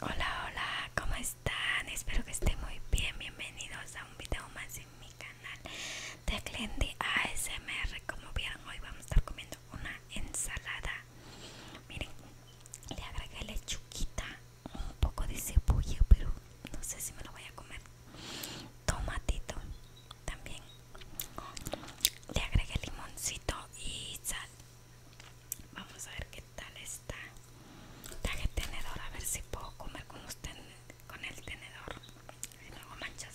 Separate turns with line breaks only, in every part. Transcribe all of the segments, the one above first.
Hola, hola, ¿cómo están? Espero que estén muy bien. Bienvenidos a un video más en mi canal de Glendy ASMR. Como vieron, hoy vamos a estar comiendo una ensalada. Miren, le agregué lechuquita, un poco de cebolla, pero no sé si me lo voy a comer. Tomatito también. Le agregué limoncito y sal Vamos a ver qué tal está. el tenedor a ver si puedo comer con usted con el tenedor. Si no manchas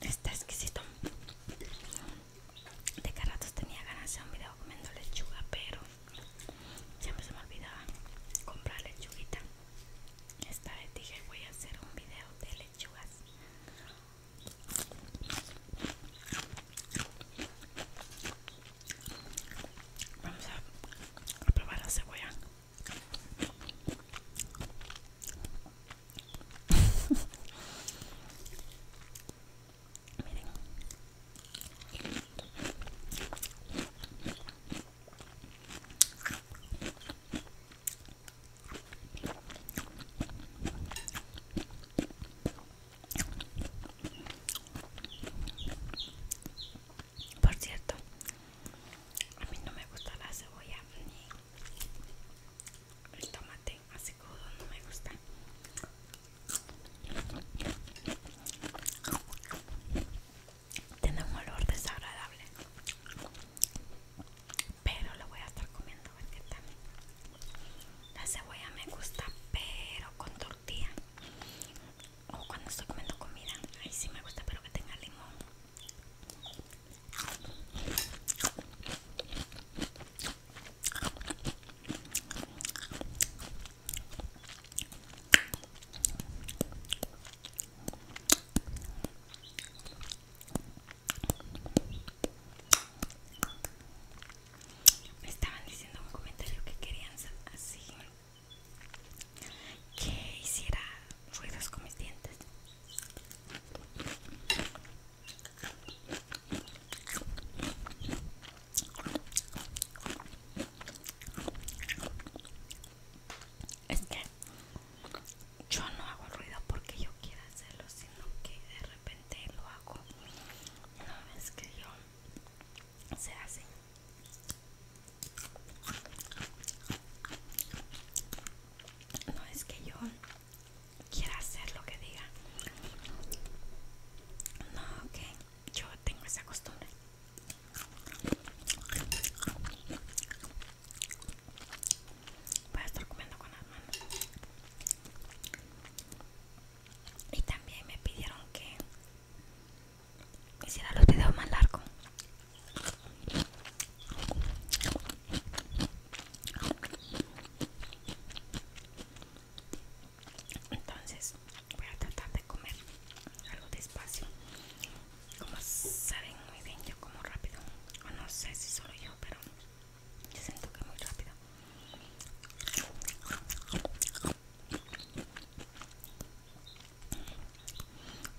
Está exquisito. De que tenía ganas de hacer un video comiendo lechuga, pero ya siempre se me olvidaba comprar lechuguita. Esta vez dije voy a hacer un video de lechugas. Vamos a, probar la cebolla. Miren. Por cierto, a mí no me gusta la cebolla ni el tomate así no me gusta. Tiene un olor desagradable, pero lo voy a estar comiendo a ver La cebolla me gusta, pero con tortilla o cuando estoy comiendo comida, ahí sí me gusta, pero que tenga limón. Me estaban diciendo en un comentario que querían así que hiciera ruidos con mis dientes. Es que yo no hago ruido porque yo quiera hacerlo, sino que de repente lo hago una vez que yo se hace. No es que yo quiera hacer lo que diga. No, ok yo tengo esa costumbre. Voy a estar comiendo con las manos. Y también me pidieron que y si era los videos más largos entonces voy a tratar de comer algo despacio como saben muy bien yo como rápido no sé si solo yo pero yo siento que muy rápido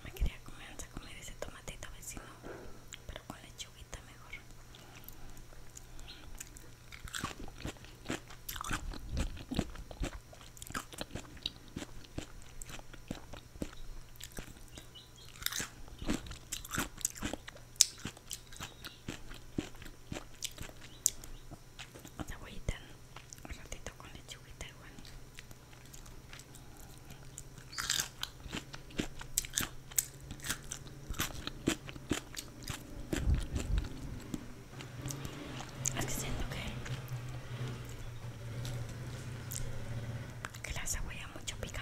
me quería comerse a comer ese tomatito vecino, pero con lechuguita mejor una huellita un ratito con lechuguita igual es que siento que que la cebolla mucho pica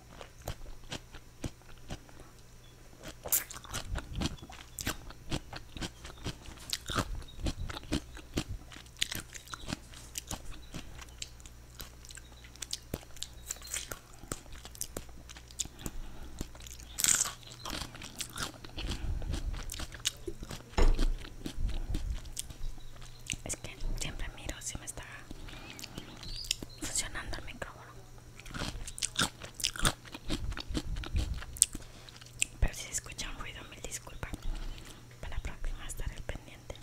Es que siempre miro si me está funcionando el micrófono pero si se escucha un ruido mil disculpas para la próxima estaré pendiente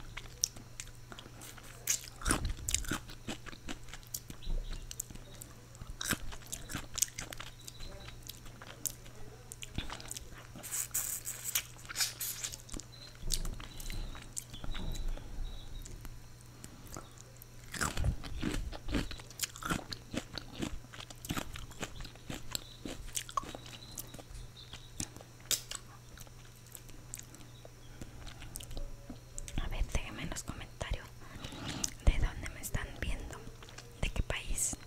a ver, déjenme los comentarios de dónde me están viendo, de qué país.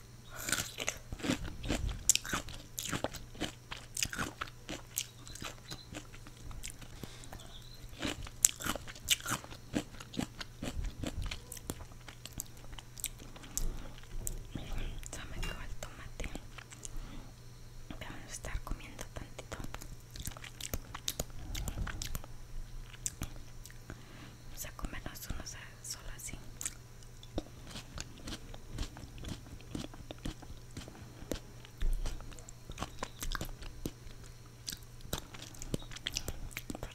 Ya me quedó el tomate. Vamos a estar comiendo tantito. Vamos a comernos unos solo así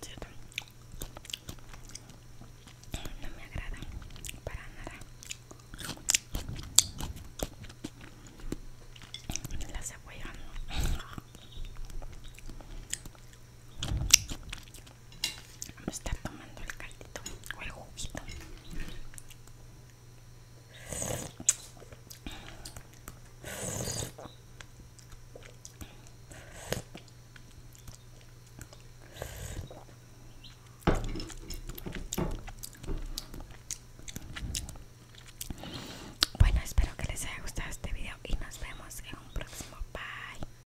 cierto, no me agrada para nada la cebolla a estar tomando el caldito o el juguito. Bueno, espero que les haya gustado este video y nos vemos en un próximo. Bye.